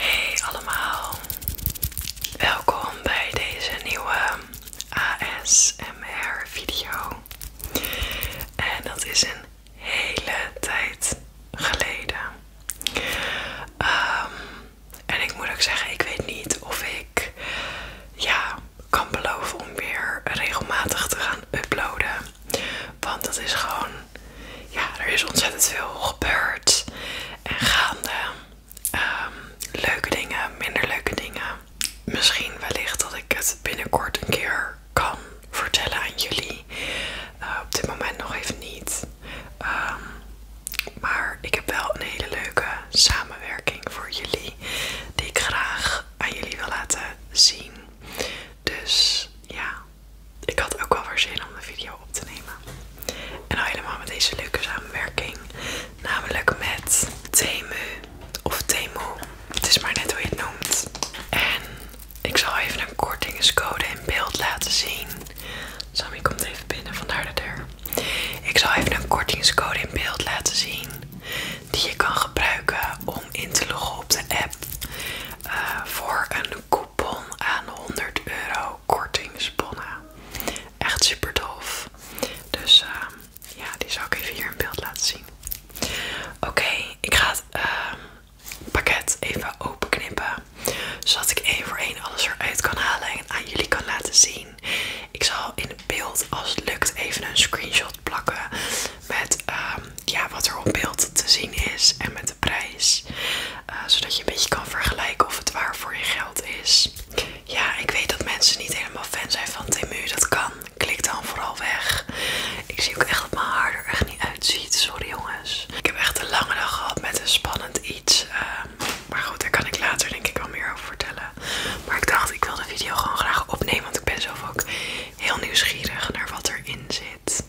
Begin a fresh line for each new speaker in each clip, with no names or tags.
Hey allemaal, welkom bij deze nieuwe ASMR video. En dat is een hele tijd geleden. Ehm, en ik moet ook zeggen, ik weet niet of ik ja, kan beloven om weer regelmatig te gaan uploaden. Want dat is gewoon, ja, er is ontzettend veel gebeurd en gaande. Ehm, leuke dingen, minder leuke dingen. Misschien wellicht dat ik het binnenkort een keer kan vertellen aan jullie. Eh, op dit moment nog even niet. Ehm, maar ik heb wel een hele leuke samenwerking voor jullie. Die ik graag aan jullie wil laten zien. Dus ja, ik had ook wel weer zin om de video op te nemen. En al nou helemaal met deze leuke samenwerking. Namelijk met Temu. Of Temu. Het is maar net hoe je het noemt. En ik zal even een kortingscode in beeld laten zien. Sammy komt even binnen, vandaar de deur. Ik zal even een kortingscode in beeld laten zien. Die je kan gebruiken om in te loggen op de app. Eh, voor een coupon aan 100 euro sponnen. Echt super tof. Dus ehm, ja, die zal ik even hier in beeld laten zien. Oké, ik ga het ehm, pakket even openknippen. Zodat ik één voor één alles eruit kan halen en aan jullie kan laten zien. Ik zal in beeld, als het lukt, even een screenshot plakken. Met ehm, ja, wat er op beeld te zien is en met de prijs. Eh, zodat je een beetje kan vergelijken of het waar voor je geld is. Ja, ik weet dat mensen niet helemaal fan zijn van Temu. Dat kan. Klik dan vooral weg. Ik zie ook echt dat mijn haar er echt niet uitziet. Sorry jongens. Ik heb echt een lange dag gehad met een spannend iets. Ehm, maar goed, daar kan ik later denk ik wel meer over vertellen. Maar ik dacht, ik wil de video gewoon graag opnemen. Want ik ben zelf ook heel nieuwsgierig naar wat erin zit.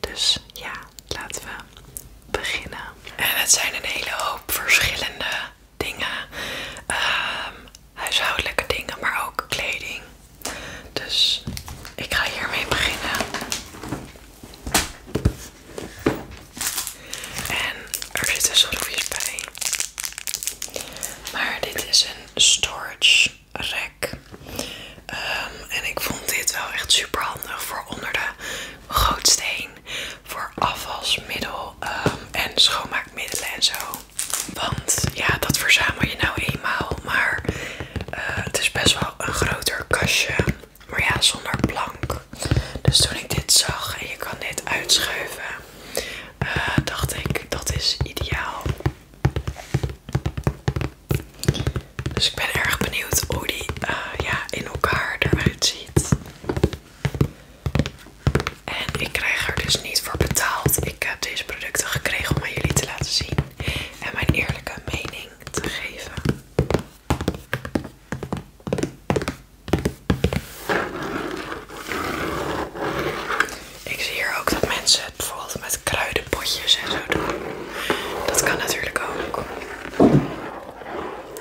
Dus ja, laten we beginnen. En het zijn een hele hoop verschillende dingen. Ehm, huishoudelijke dingen, maar ook kleding. Dus ik ga hiermee beginnen. En er zitten schroefjes bij. Maar dit is een storage rack. Ehm, en ik vond dit wel echt super handig voor onder de gootsteen voor afvalsmiddel ehm, en schoonmaakmiddelen en zo. Want ja, dat verzamel je nou eenmaal, maar eh, het is best wel een groter kastje. Maar ja, zonder plank. Dus toen ik dit zag en je kan dit uitschuiven, eh, dacht ik dat is ideaal. Dus ik ben erg benieuwd hoe die eh, ja, in elkaar eruit ziet. En ik krijg er dus niet voor betaald. Ik heb deze producten gekregen om aan jullie te laten zien. En mijn eerlijke mening te geven. Ik zie hier ook dat mensen het bijvoorbeeld met kruidenpotjes en zo doen. Dat kan natuurlijk ook.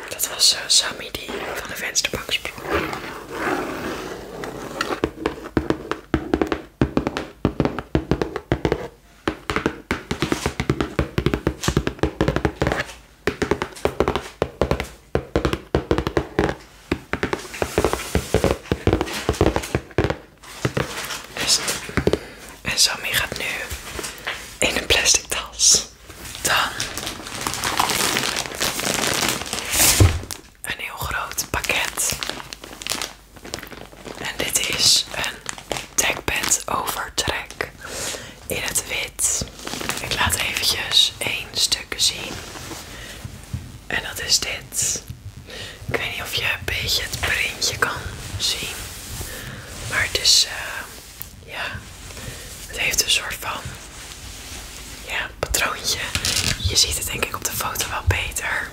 Dat was eh, Sammy die van de vensterbank sprong. En Sammy gaat nu in een plastic tas. Dan een heel groot pakket. En dit is een dekbed overtrek in het wit. Ik laat eventjes één stukje zien. En dat is dit. Ik weet niet of je een beetje het printje kan zien. Maar het is eh, ja, het heeft een soort van ja, patroontje. Je ziet het denk ik op de foto wel beter.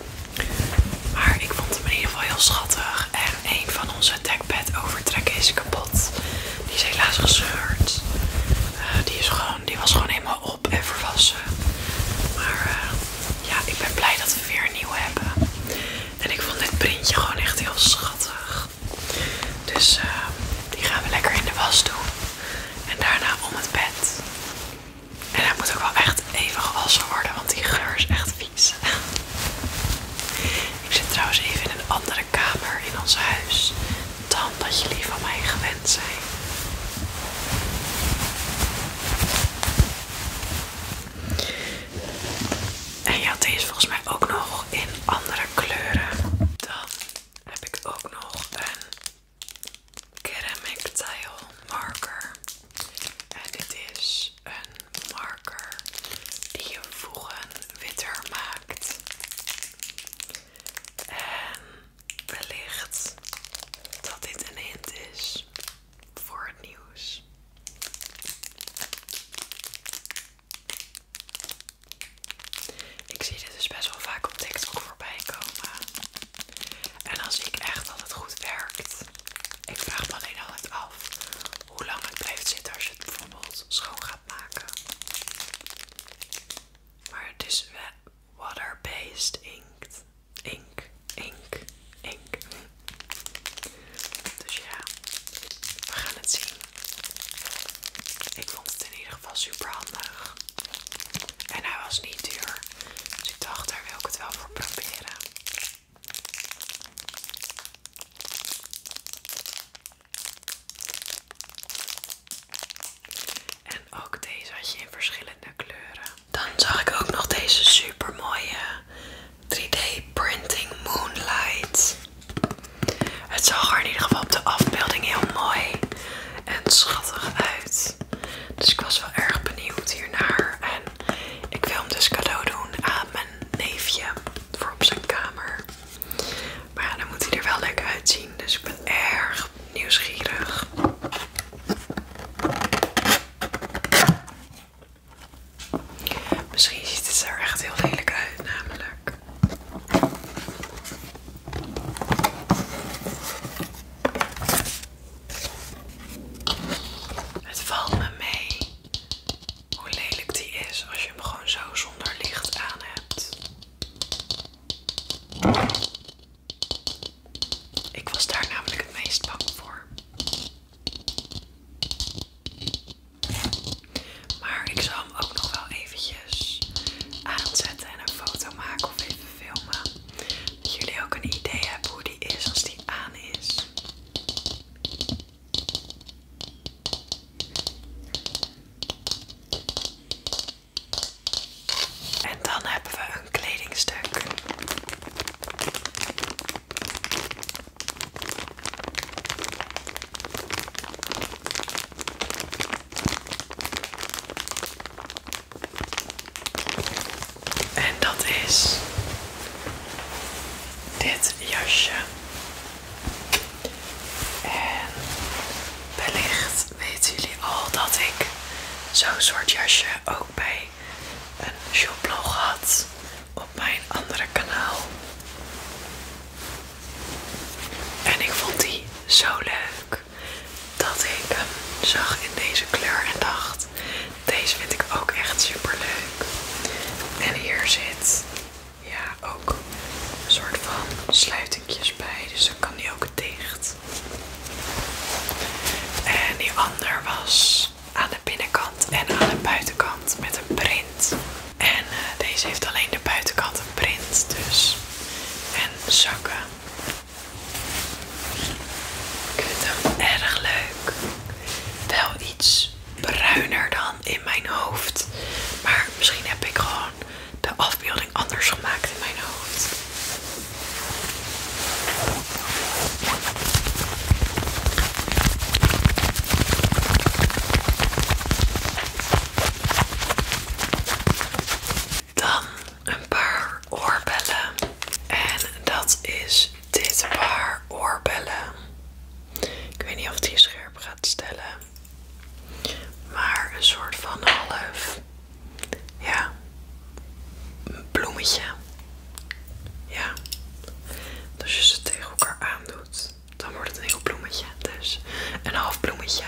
Maar ik vond hem in ieder geval heel schattig. En een van onze dekbed overtrekken is kapot. Die is helaas gescheurd. Eh, die, is gewoon, die was gewoon helemaal op en verwassen. Maar eh, ja, ik ben blij dat we weer een nieuw hebben. En ik vond dit printje gewoon echt heel schattig. Dus eh, die gaan we lekker in de was doen. En daarna om het bed. En hij moet ook wel echt even gewassen worden, want die geur is echt vies. Ik zit trouwens even in een andere kamer in ons huis dan dat jullie van mij gewend zijn. En je had deze volgens mij ook nog in andere kleuren. Dan heb ik ook nog een Ceramic Tile Marker. En dit is een marker die je voegen witter maakt. En wellicht dat dit een hint is voor het nieuws. Ik zie dit dus best wel vaak op TikTok voorbij komen. En dan zie ik echt dat het goed werkt. Ik vraag me alleen altijd af hoe lang het blijft zitten als je het bijvoorbeeld schoon gaat maken. Maar het is water-based inkt. Ink, ink, ink. Dus ja, we gaan het zien. Ik vond het in ieder geval super handig. En hij was niet duur. Dus ik dacht, daar wil ik het wel voor proberen. En ook deze had je in verschillende kleuren. Dan zag ik ook nog deze super mooie 3D Printing Moonlight. Het zag er in ieder geval op de afbeelding heel mooi en schattig uit. Dus ik was wel erg benieuwd hiernaar. En ik wil hem dus cadeau doen aan mijn neefje voor op zijn kamer. Maar ja, dan moet hij er wel lekker uitzien. Dus ik ben erg nieuwsgierig. Misschien ziet het er echt heel lelijk uit, namelijk. Het valt me mee hoe lelijk die is als je hem gewoon zo zonder licht aan hebt. Ik was daar namelijk het meest bang voor. Maar ik zal hem ook nog wel eventjes aanzetten en een foto maken of even filmen. Dat jullie ook een idee hebben hoe die is als die aan is. En dan hebben we een kledingstuk. En dat is dit jasje. En wellicht weten jullie al dat ik zo'n soort jasje ook bij een shoplog had op mijn andere kanaal. En ik vond die zo leuk dat ik hem zag in deze kleur en dacht, deze vind ik ook echt super leuk. En hier zit ja ook een soort van sluitingjes bij, dus dan kan die ook dicht. En die ander was aan de binnenkant en aan de buitenkant met een print. En eh, deze heeft alleen de buitenkant een print dus. En zakken. Ik vind hem erg leuk. Wel iets bruiner dan in mijn hoofd. Maar misschien heb ik gewoon de afbeelding anders gemaakt in mijn hoofd. Dan een paar oorbellen. En dat is dit paar oorbellen. Ik weet niet of die scherp gaat stellen. Maar een soort van half. Ja. bloemetje. Ja. Dus je ze tegen elkaar doet dan wordt het een heel bloemetje. Dus een half bloemetje.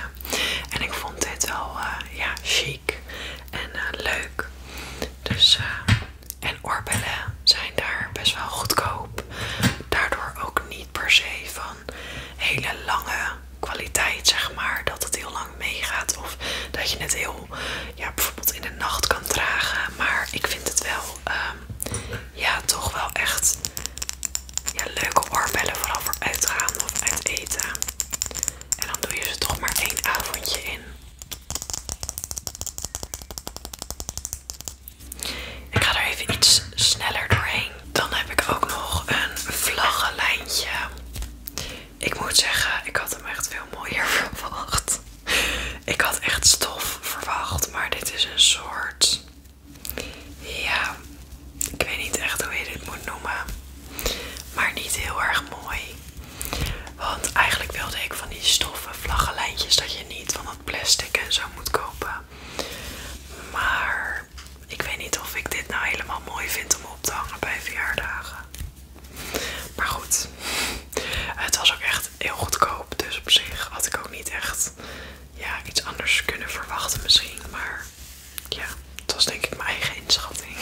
En ik vond dit wel eh, ja, chic en eh, leuk. Dus, eh, en orbellen zijn daar best wel goedkoop. Daardoor ook niet per se van hele lange kwaliteit, zeg maar. Dat het heel lang meegaat. Of dat je het heel, ja, bijvoorbeeld in de nacht kan dragen. Maar ik vind het wel ehm, ja, toch wel echt ja, leuke oorbellen vooral voor uitgaan of uit eten. En dan doe je ze toch maar één avondje in. Ik ga er even iets sneller doorheen. Dan heb ik ook nog een vlaggenlijntje. Ik moet zeggen, ik had hem echt veel mooier verwacht. Ik had echt stof verwacht, maar dit is een soort ja, ik weet niet echt hoe je dit moet noemen. Maar niet heel erg mooi. Want eigenlijk wilde ik van die stoffen vlaggenlijntjes dat je niet van het plastic en zo moet kopen. Maar ik weet niet of ik dit nou helemaal mooi vind om op te hangen bij verjaardagen. Maar goed, het was ook echt heel goedkoop. Dus op zich had ik ook niet echt ja, iets anders kunnen verwachten misschien. Maar ja, dat was denk ik mijn eigen inschatting.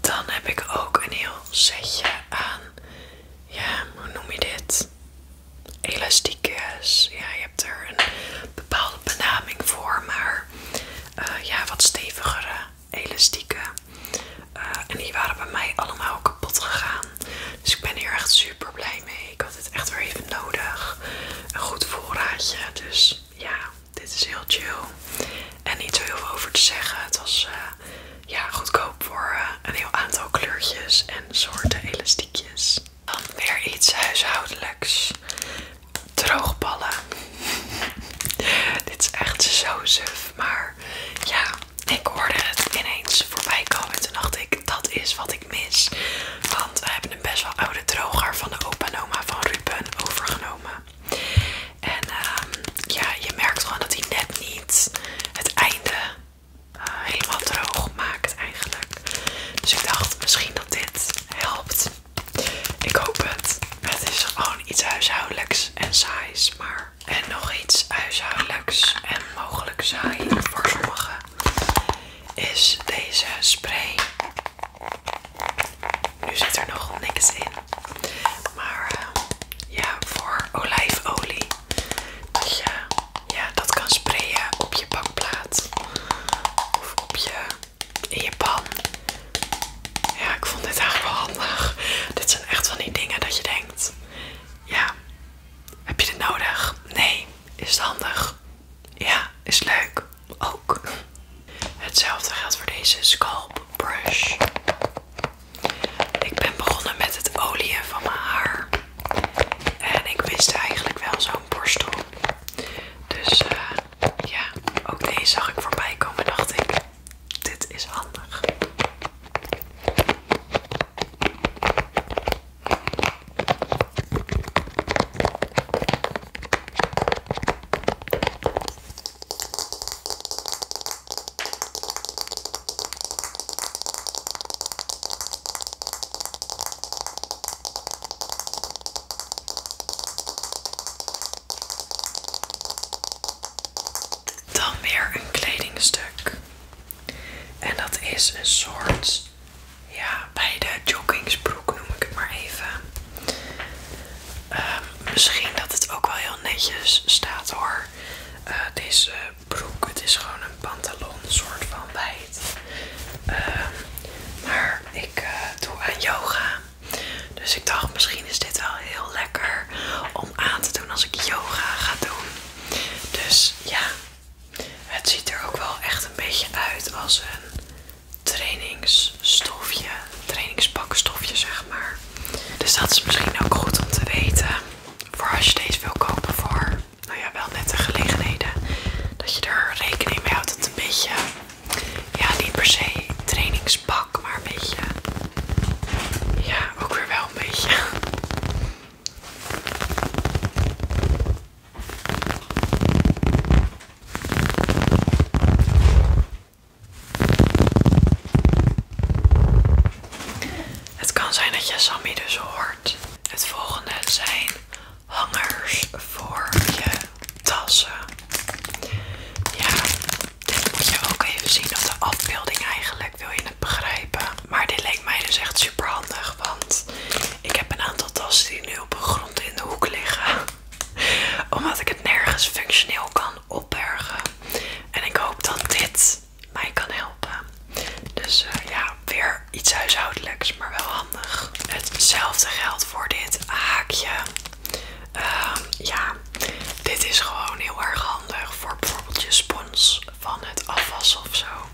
Dan heb ik ook een heel setje aan ja, hoe noem je dit? Elastiekjes. Ja, je hebt er een bepaalde benaming voor, maar eh, ja, wat stevigere elastieken. Eh, en die waren bij mij allemaal kapot gegaan. Dus ik ben hier echt super blij mee. Ik had het echt weer even nodig. Een goed voorraadje. Dus ja, dit is heel chill. En niet zo heel veel over te zeggen. Het was eh, ja, goedkoop voor eh, een heel aantal kleurtjes en soorten elastiekjes. Dan weer iets huishoudelijks. Droogballen. Dit is echt zo suf, maar ja, ik hoorde het ineens voorbij komen. toen dacht ik, dat is wat ik mis. Want we hebben een best wel oude droger van de opa en van Ruben overgenomen. En eh ja, je merkt gewoon dat hij net niet het einde eh, helemaal droog maakt eigenlijk. Dus ik dacht misschien dat dit helpt. Ik hoop het. Het is gewoon iets huishoudelijks en saais, maar... En nog iets huishoudelijks en mogelijk saai voor sommigen is deze spray. Nu zit er nog niks in. Maar eh, ja, voor olijfolie dat je ja, dat kan sprayen op je bakplaat of op je, in je pan. Ja, ik vond dit eigenlijk wel handig. Dit zijn echt van die dingen dat je denkt: ja, heb je dit nodig? Nee, is het handig? Ja, is leuk ook. Hetzelfde geldt voor deze scalp brush. Ik ben begonnen met het olieën van mijn haar. En ik wist eigenlijk wel zo'n borstel. Dus eh, ja, ook deze zag ik voorbij komen dacht ik, dit is handig. Dan weer een kledingstuk. En dat is een soort, ja, bij de joggingsbroek noem ik het maar even. Ehm, misschien dat het ook wel heel netjes staat hoor. deze eh, broek. Het is gewoon een pantalon, soort van wijd. Ehm, maar ik eh, doe aan yoga. Dus ik dacht, misschien is dit wel heel lekker om aan te doen als ik yoga ga doen. Dus ja, het ziet er ook wel echt een beetje uit als een trainingsstofje, trainingspakstofje zeg maar. Dus dat is misschien ook goed om te weten. Voor als je deze wil kopen voor, nou ja, wel nette gelegenheden. Dat je er rekening mee houdt dat het een beetje, ja, niet per se trainingspak, maar een beetje, ja, ook weer wel een beetje. Het kan zijn dat je Sammy dus hoort. Het volgende zijn hangers voor je tassen. Ja, dit moet je ook even zien op de afbeelding eigenlijk. Wil je het begrijpen? Maar dit leek mij dus echt super handig, want ik heb een aantal tassen die nu op de grond in de hoek liggen. Omdat ik het nergens functioneel kan opbergen. En ik hoop dat dit mij kan helpen. Dus eh, ja, weer iets huishoudelijks, maar wel handig. Hetzelfde geldt voor dit haakje. Ehm, ja, dit is gewoon heel erg handig voor bijvoorbeeld je spons van het afwas of zo.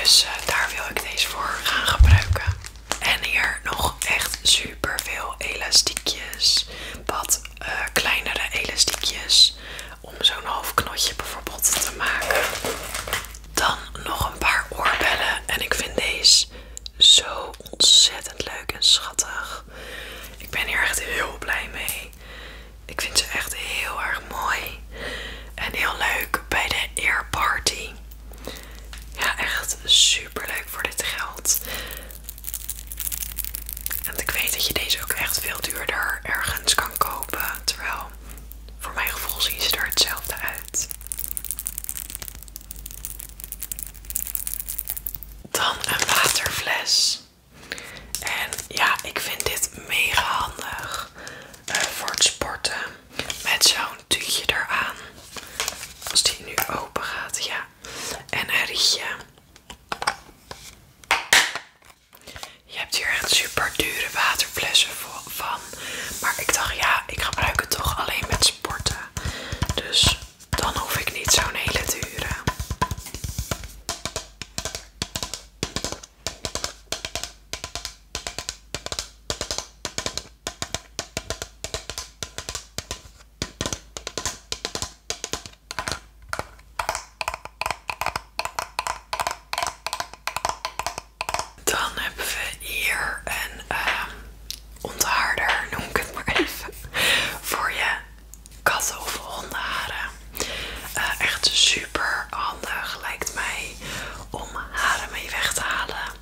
Dus eh, daar wil ik deze voor gaan gebruiken. En hier nog echt super veel elastiekjes. Wat eh, kleinere elastiekjes om zo'n half knotje bijvoorbeeld te maken. Dan nog een paar oorbellen en ik vind deze zo ontzettend leuk en schattig. Ik ben hier echt heel blij mee. Ik vind ze echt heel erg mooi en heel leuk bij de earparty. Party. Ja, echt super leuk voor dit geld. En ik weet dat je deze ook echt veel duurder ergens kan kopen Terwijl voor mijn gevoel zien ze er hetzelfde uit. Dan een waterfles. En ja, ik vind dit mega handig eh, voor het sporten. Met zo'n tuutje eraan. Als die nu open gaat, ja. En een rietje. Je hebt hier echt super dure waterflessen van. Maar ik dacht, ja, ik gebruik het toch alleen met sporten. Dus dan hoef ik niet zo'n hele dure. Dan hebben we hier een ehm, onthaarder, noem ik het maar even, voor je katten of hondenharen. Eh, echt super handig lijkt mij om haren mee weg te halen.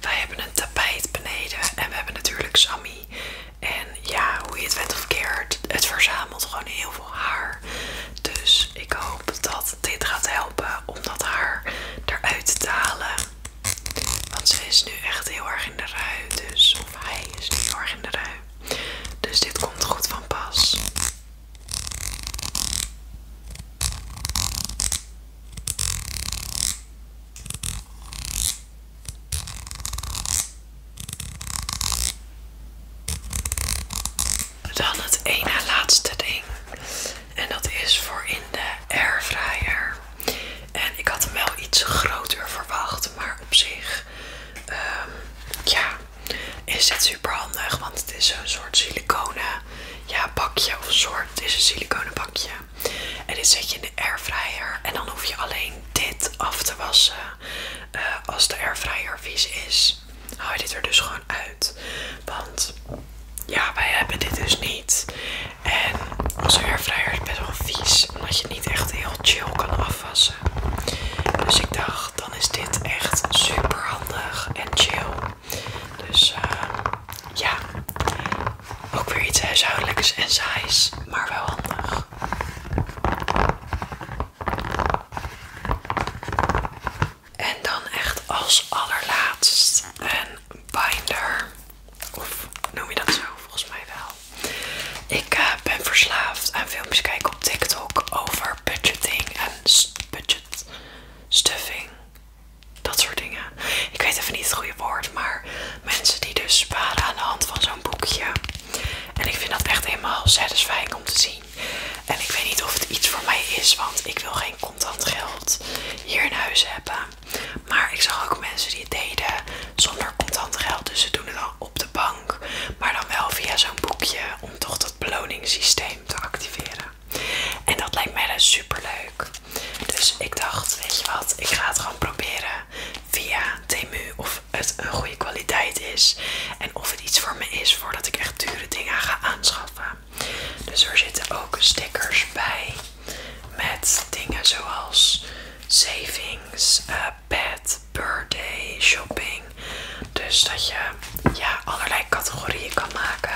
Wij hebben een tapijt beneden en we hebben natuurlijk Sammy. En ja, hoe je het went of keert, het verzamelt gewoon heel veel haar. Dus ik hoop dat dit gaat helpen om dat haar eruit te halen. Want ze is nu echt heel erg in de rui. Dus, of hij is nu heel erg in de rui. Dus dit komt goed van pas. Dan het ene laatste ding. En dat is voor in de airfryer. En ik had hem wel iets groter verwacht. Maar op zich, ehm, ja, is dit super handig. Want het is zo'n soort siliconen ja, bakje. Of een soort, het is een siliconen bakje. En dit zet je in de airfryer. En dan hoef je alleen dit af te wassen. Eh, als de airfryer vies is haal je dit er dus gewoon uit. Want ja, wij hebben dit dus niet. En onze airfryer is best wel vies, omdat je niet echt heel chill kan afwassen. Dus ik dacht, dan is dit echt super handig en chill. Dus eh, ja, ook weer iets huishoudelijks en saais, maar wel handig. En dan echt als allerlaatst een binder. Of noem je dat zo? Volgens mij wel. Ik eh, ben verslaafd aan filmpjes kijken op TikTok over budgeting en budget stuffing. Dat soort dingen. Ik weet even niet het goede woord, maar mensen die dus sparen aan de hand van zo'n boekje. En ik vind dat echt helemaal satisfying om te zien. En ik weet niet of het iets voor mij is, want ik wil geen contant geld hier in huis hebben. Maar ik zag ook mensen die het deden zonder contant geld. Dus ze doen het dan op de bank, maar dan wel via zo'n boekje om toch dat beloningssysteem te activeren. En dat lijkt mij dus super leuk. Dus ik dacht, weet je wat, ik ga het gewoon proberen via Temu of of het een goede kwaliteit is en of het iets voor me is voordat ik echt dure dingen ga aanschaffen. Dus er zitten ook stickers bij met dingen zoals savings, uh, birthday, shopping. Dus dat je ja, allerlei categorieën kan maken.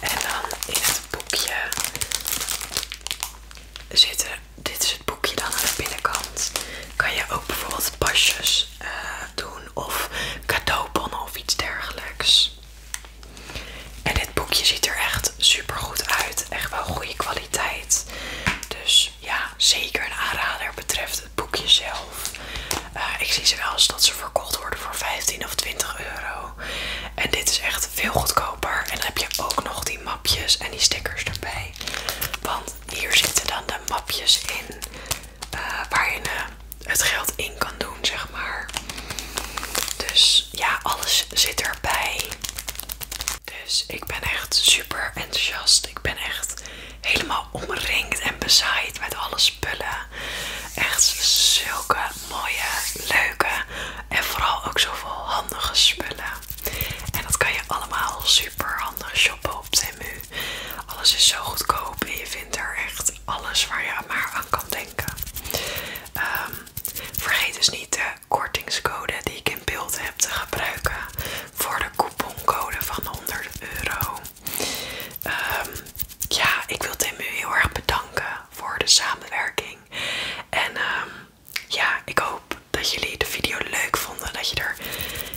En dan in het boekje zitten, dit boekje dan aan de binnenkant. Kan je ook bijvoorbeeld pasjes eh, doen of cadeaubonnen of iets dergelijks. En dit boekje ziet er echt super goed uit. Echt wel goede kwaliteit. Dus ja, zeker een aanrader betreft het boekje zelf. Eh, ik zie ze wel eens dat ze verkocht worden voor 15 of 20 euro. En dit is echt veel goedkoper. En dan heb je ook nog die mapjes en die stickers erbij. Want hier zitten dan de mapjes in eh, waar je eh, het geld in kan doen, zeg maar. Dus ja, alles zit erbij. Dus ik ben echt super enthousiast. Ik ben echt helemaal omringd en bezaaid met alle spullen. Echt zulke mooie, leuke en vooral ook zoveel handige spullen. En dat kan je allemaal super handig shoppen op Temu. Alles is zo goedkoop en je vindt er echt alles waar je maar aan kan denken. Ehm, vergeet dus niet de kortingscode die ik in beeld heb te gebruiken voor de couponcode van 100 euro. Ehm, ja, ik wil Tim heel erg bedanken voor de samenwerking. En ehm, ja, ik hoop dat jullie de video leuk vonden. Dat je er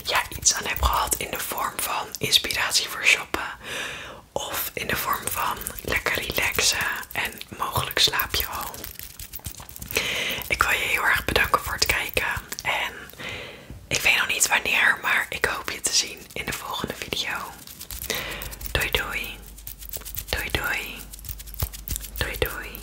ja, iets aan heb gehad in de vorm van inspiratie voor shoppen. Of in de vorm van lekker relaxen en mogelijk slaap al. Ik wil je heel erg bedanken voor het kijken. En ik weet nog niet wanneer, maar ik hoop je te zien in de volgende video. Doei doei. Doei doei. Doei doei.